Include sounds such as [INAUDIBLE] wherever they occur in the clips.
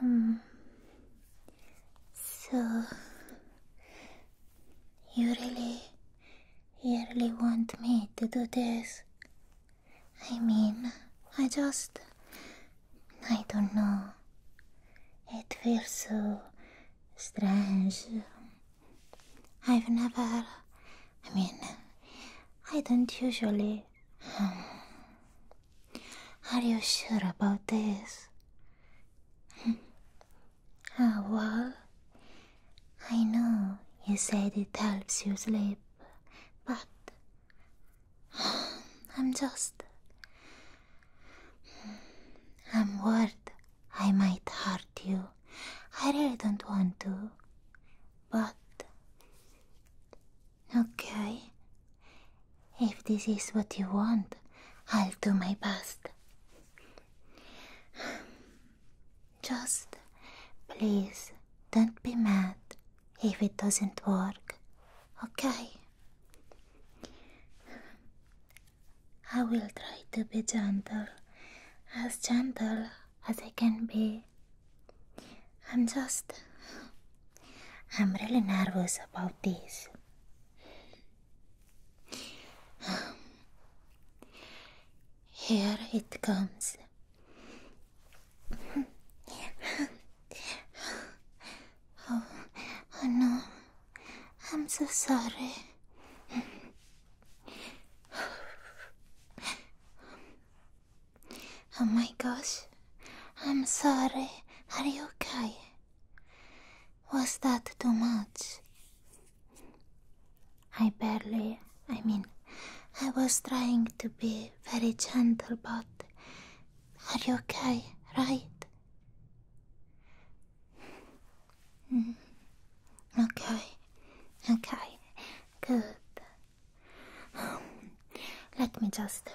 Hmm. So you really, you really want me to do this? I mean, I just, I don't know. It feels so strange. I've never. I mean, I don't usually. Um, are you sure about this? Hmm. ah, well, I know you said it helps you sleep, but [SIGHS] I'm just. I'm worried I might hurt you. I really don't want to. But. Okay. If this is what you want, I'll do my best. Just please don't be mad if it doesn't work, okay? I will try to be gentle, as gentle as I can be. I'm just. I'm really nervous about this. Here it comes. oh, oh no, I'm so sorry oh my gosh. I'm sorry. Are you okay? Was that too much? I barely. I mean, I was trying to be very gentle, but. Are you okay, right? Mm. Okay, okay, good. Um, let me just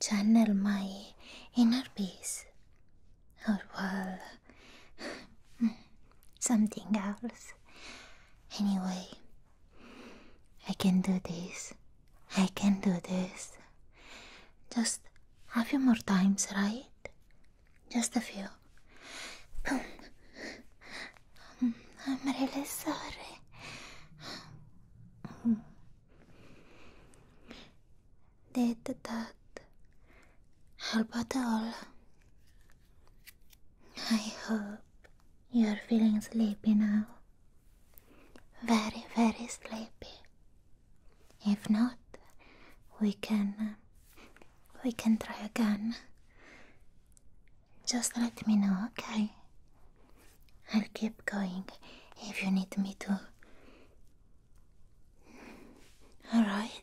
channel my inner peace. Or, oh, well, [LAUGHS] something else. Anyway, I can do this. I can do this. Just a few more times, right? Just a few. I'm um, really sorry. Did that help at all? I hope you're feeling sleepy now. Very, very sleepy. If not, we can we can try again. Just let me know, okay? I'll keep going if you need me to. Alright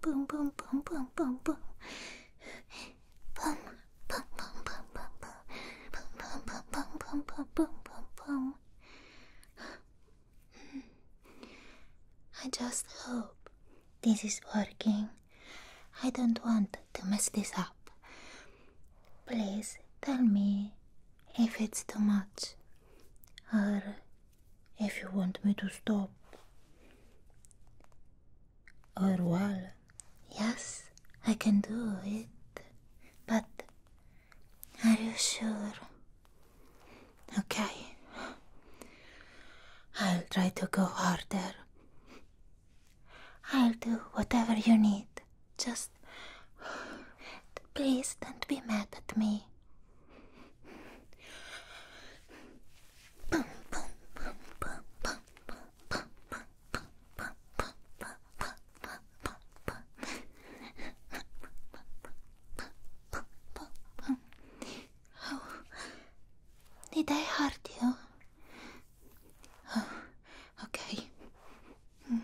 boom, boom, boom, boom, boom, boom. Boom, boom, boom, boom, boom, boom. Boom, boom, boom, boom, I just hope this is working. I don't want to mess this up. Please tell me if it's too much or if you want me to stop. Or, well, yes, I can do it, but are you sure? Okay, I'll try to go harder. I'll do whatever you need. Just please don't be mad at me. Boom, boom, boom, boom, boom, boom, boom, boom, boom, boom, boom, boom, did I hurt you? Oh, okay. Hmm.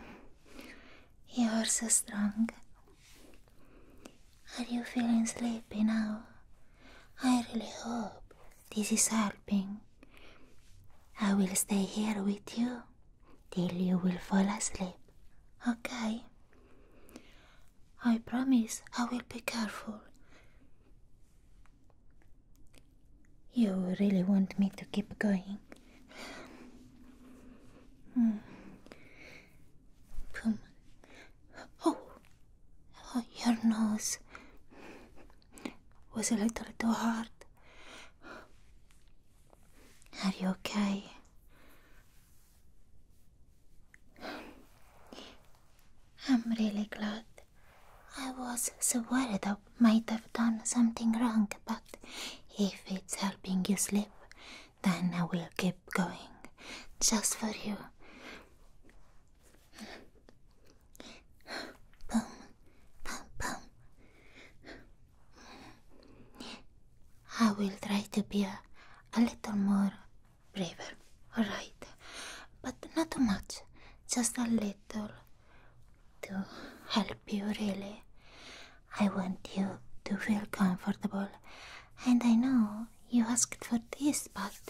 You are so strong. Are you feeling sleepy now? I really hope this is helping. I will stay here with you till you will fall asleep, okay? I promise I will be careful. You really want me to keep going? Come, hmm. Oh, oh, your nose was a little too hard. Are you okay? I'm really glad. I was so worried I might have done something wrong, but if it's helping you sleep, then I will keep going just for you. Boom, boom, boom. I will try to be a, little more brave, alright? But not too much, just a little to help you, really. I want you to feel comfortable, and I know you asked for this, but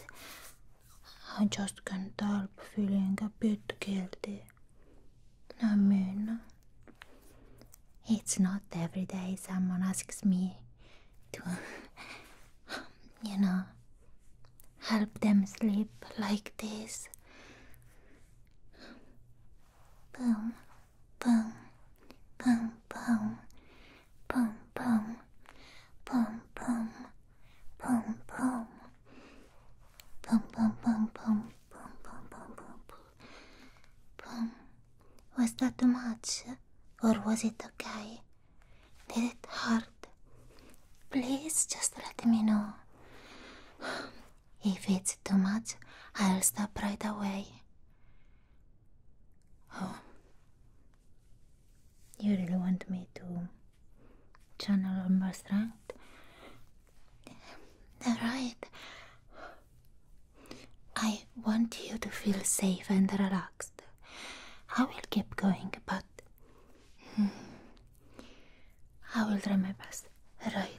I just can't help feeling a bit guilty. I mean, it's not every day someone asks me to, [LAUGHS] you know, help them sleep like this. Boom boom, boom, boom, boom, boom, boom, boom, boom, boom, boom, boom, boom, boom, boom, boom, boom, boom, boom. Was that too much, or was it okay? Did it hurt? Please just let me know. If it's too much, I'll stop right away. Oh, you really want me to channel all my strength? Alright. I want you to feel safe and relaxed. I will keep going, but hmm, I will try my best. Right.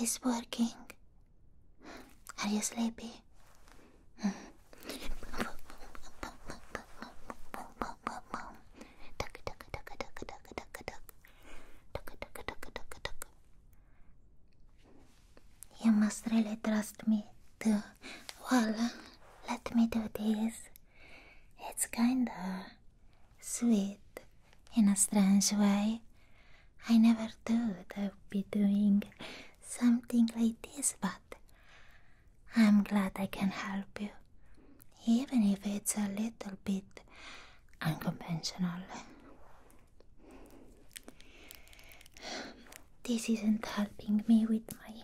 It's working. Are you sleepy? You must really trust me too. Well, let me do this. It's kinda sweet in a strange way. I never thought I'd be doing something like this, but I'm glad I can help you, even if it's a little bit unconventional. This isn't helping me with my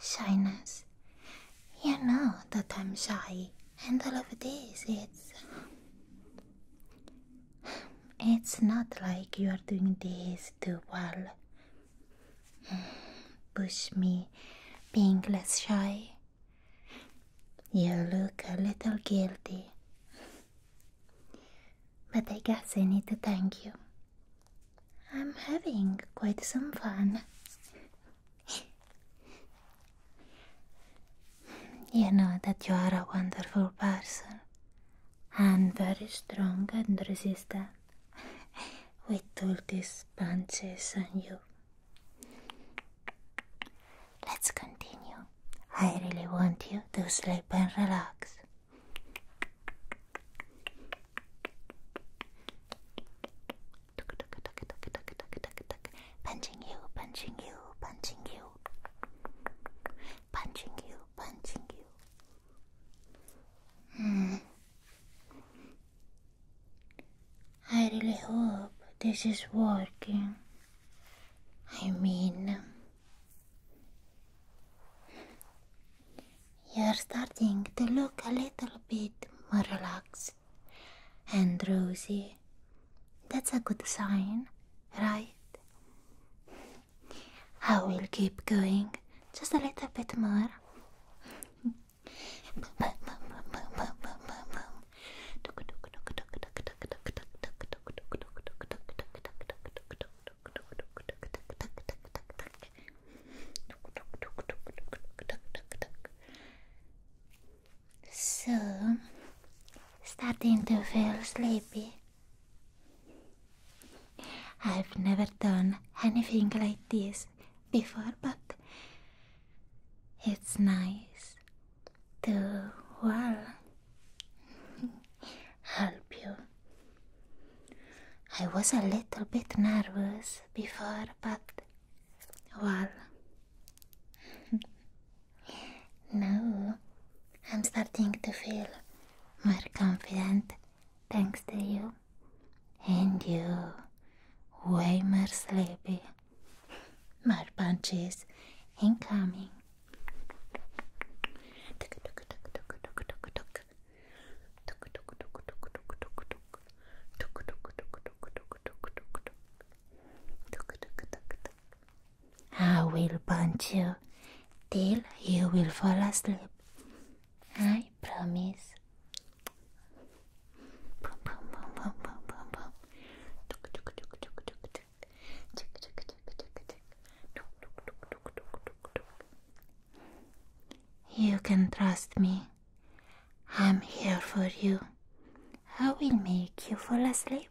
shyness. You know that I'm shy and all of this it's it's not like you are doing this too well push me being less shy you look a little guilty but I guess I need to thank you. I'm having quite some fun you know that you are a wonderful person and very strong and resistant [LAUGHS] with all these punches on you. Let's continue. I really want you to sleep and relax. Punching you, punching you, punching you. Punching you, punching you. Hmm. I really hope this is working. I mean, you're starting to look a little bit more relaxed. And Rosie, That's a good sign, right? I will keep going just a little bit more. So, starting to feel sleepy. I've never done anything like this before, but it's nice to, well, [LAUGHS] help you. I was a little bit nervous before, but well. now I'm starting to feel more confident thanks to you. And you. Way more sleepy. More punches incoming. I will punch you till you will fall asleep. I promise. You can trust me. I'm here for you. I will make you fall asleep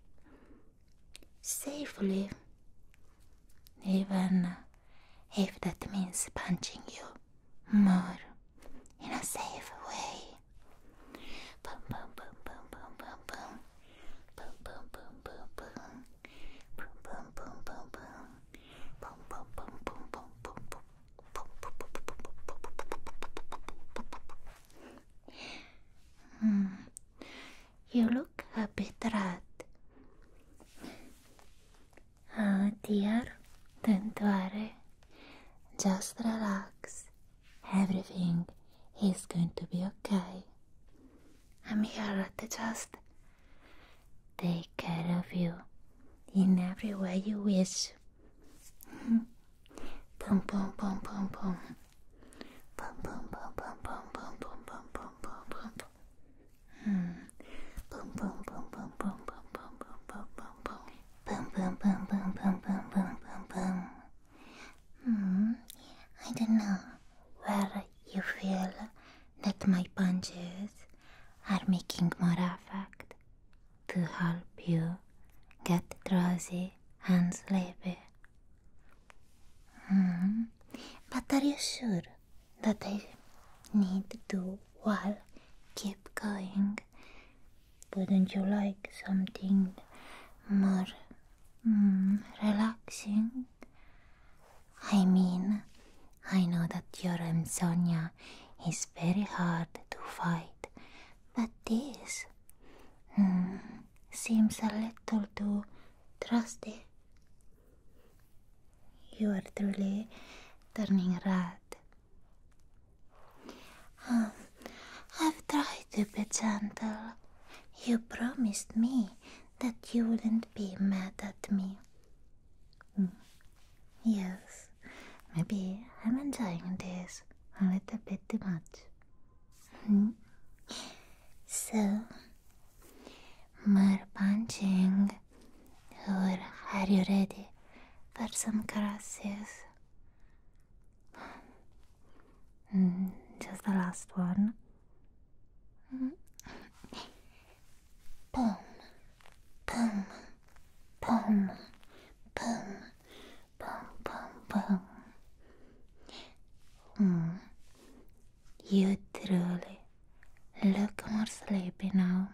safely, even if that means punching you more in a safe way. Boom, boom, boom, boom, boom, boom, boom. Boom, boom, boom, boom, boom. Boom, boom, boom, boom, boom. Boom, boom, boom, boom, boom, boom, boom, Hmm. You look a bit red. Oh ah, dear, don't worry. Just relax. Everything is going to be okay. I'm here to just take care of you in every way you wish it. Boom, boom, boom, boom, boom. Boom, boom, boom, boom, boom, boom, boom, boom, boom, boom, boom. Boom, boom, boom, boom, boom, boom, boom, boom, boom, boom, boom. Boom, boom, boom, boom, boom, boom, boom, boom, boom. Hmm. I don't know where you feel that my punches are making more effect to help you get drowsy and sleepy. But are you sure that I need to while keep going? Wouldn't you like something more relaxing? I mean, I know that you're insomnia it's very hard to fight, but this hmm, seems a little too trusty. You are truly turning red. Um, I've tried to be gentle. You promised me that you wouldn't be mad at me. Hmm, yes. Maybe I'm enjoying this a little bit too much. Hmm. so, more punching, or are you ready for some caresses? Hmm, just the last one. Hmm boom, boom, boom, boom, boom, boom, boom. Mm. You truly look more sleepy now,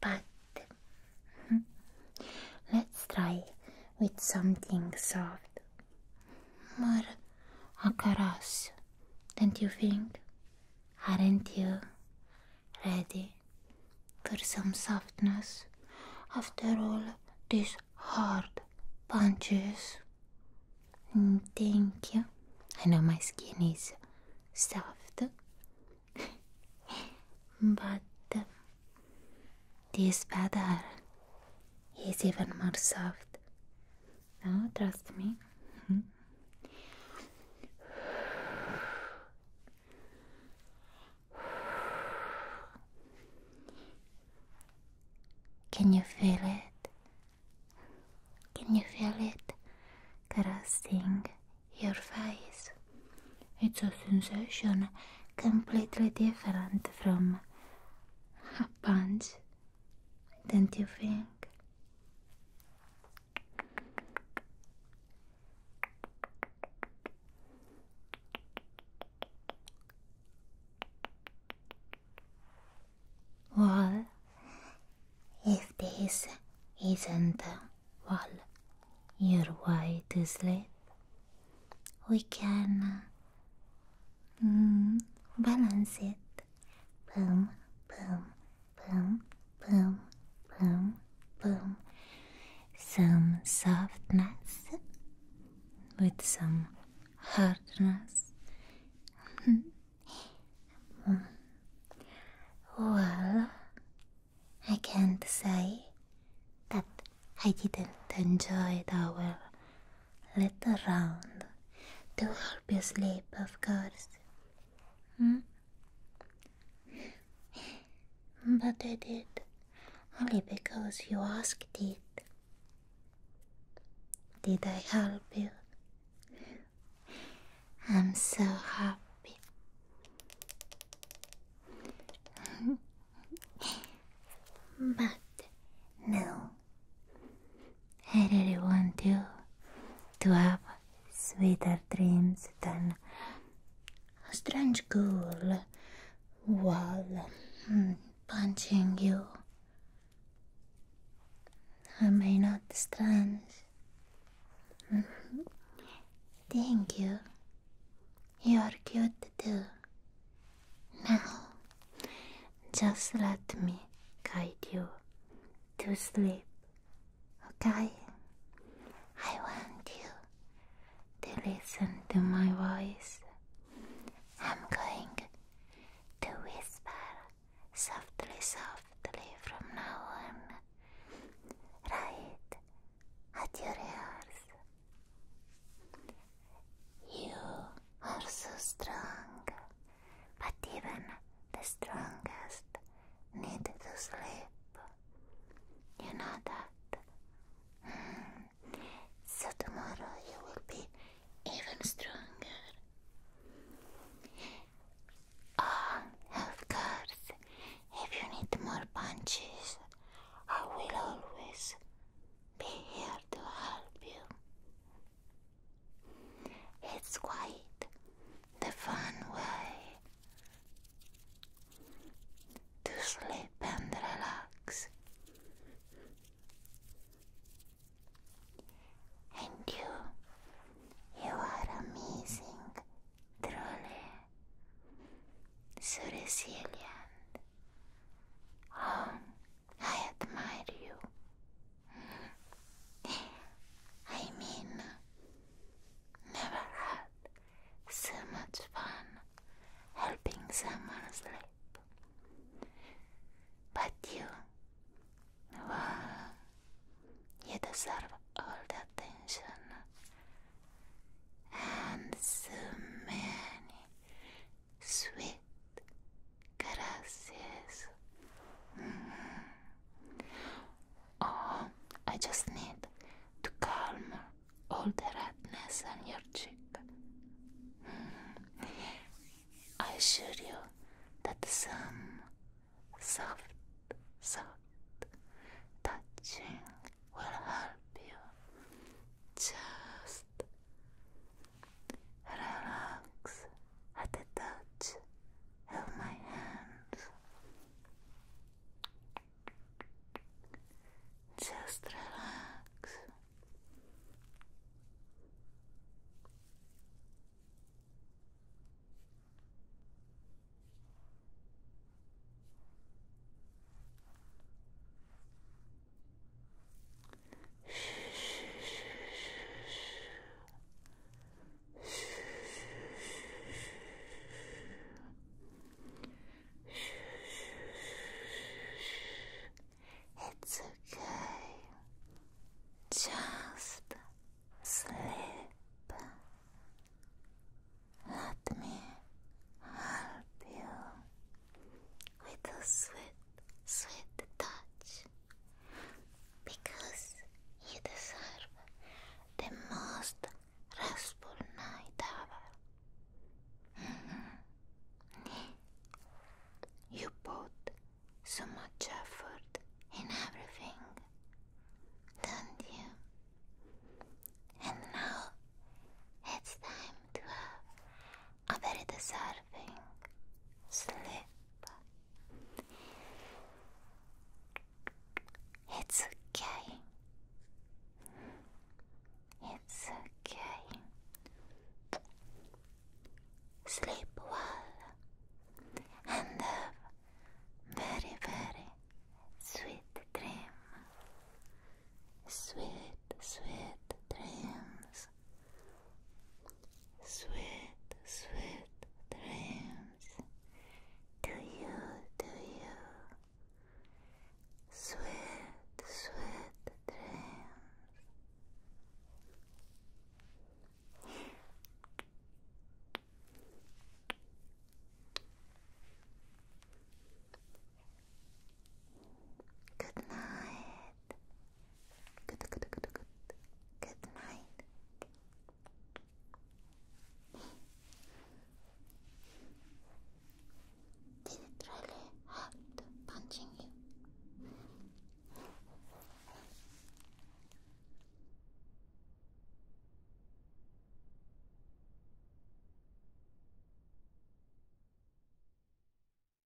but hmm, let's try with something soft, more a caress. Don't you think? Aren't you ready? for some softness after all these hard punches. Mm, thank you. I know my skin is soft, [LAUGHS] but this feather is even more soft. Now trust me. Mm-hmm. Can you feel it? Can you feel it caressing your face? It's a sensation completely different from a punch, don't you think? Well, if this isn't well your way to sleep, we can mm, balance it. Boom, boom, boom, boom, boom, boom. Some softness with some hardness. Hmm. well, I can't say that I didn't enjoy our little round to help you sleep, of course. Hmm? But I did. Only because you asked it. Did I help you? I'm so happy. [LAUGHS] but no, I really want you to have sweeter dreams than a strange girl while hmm, punching you. I may not strange. Mm-hmm. Thank you. You're cute too. Now, just let me guide you to sleep. Okay? I want you to listen to my voice. I'm going to whisper softly, softly from now on, right at your ears. You are so strong but even the strongest need to sleep. You know that? Hmm. So tomorrow you will be even stronger. Ah, of course, if you need more punches, I will always be here to help you. It's quite the fun way to sleep and relax, and you, you are amazing, truly, so resilient. Oh, I admire you. I mean, never had so much fun helping someone sleep. But you, well, you deserve all the attention and so many sweet Gracias. Mm-hmm. Oh, I just need to calm all the redness on your cheek. Mm-hmm. I assure you that some soft, soft touching will help you. Just relax at the touch of my hands. Just relax. It's okay. Just sleep. Let me help you with a sweet sweet touch because you deserve the most restful night ever. Mm-hmm. You put so much effort in everything, don't you? And now it's time to I'm very deserving sleep. It's okay. It's okay. Sleep well and have very, very sweet dream. Sweet, sweet dreams. Sweet, sweet dreams to you, to you. Sweet, sweet dreams. Good night. Good, good, good, good. Good night. Did it really hurt punching you?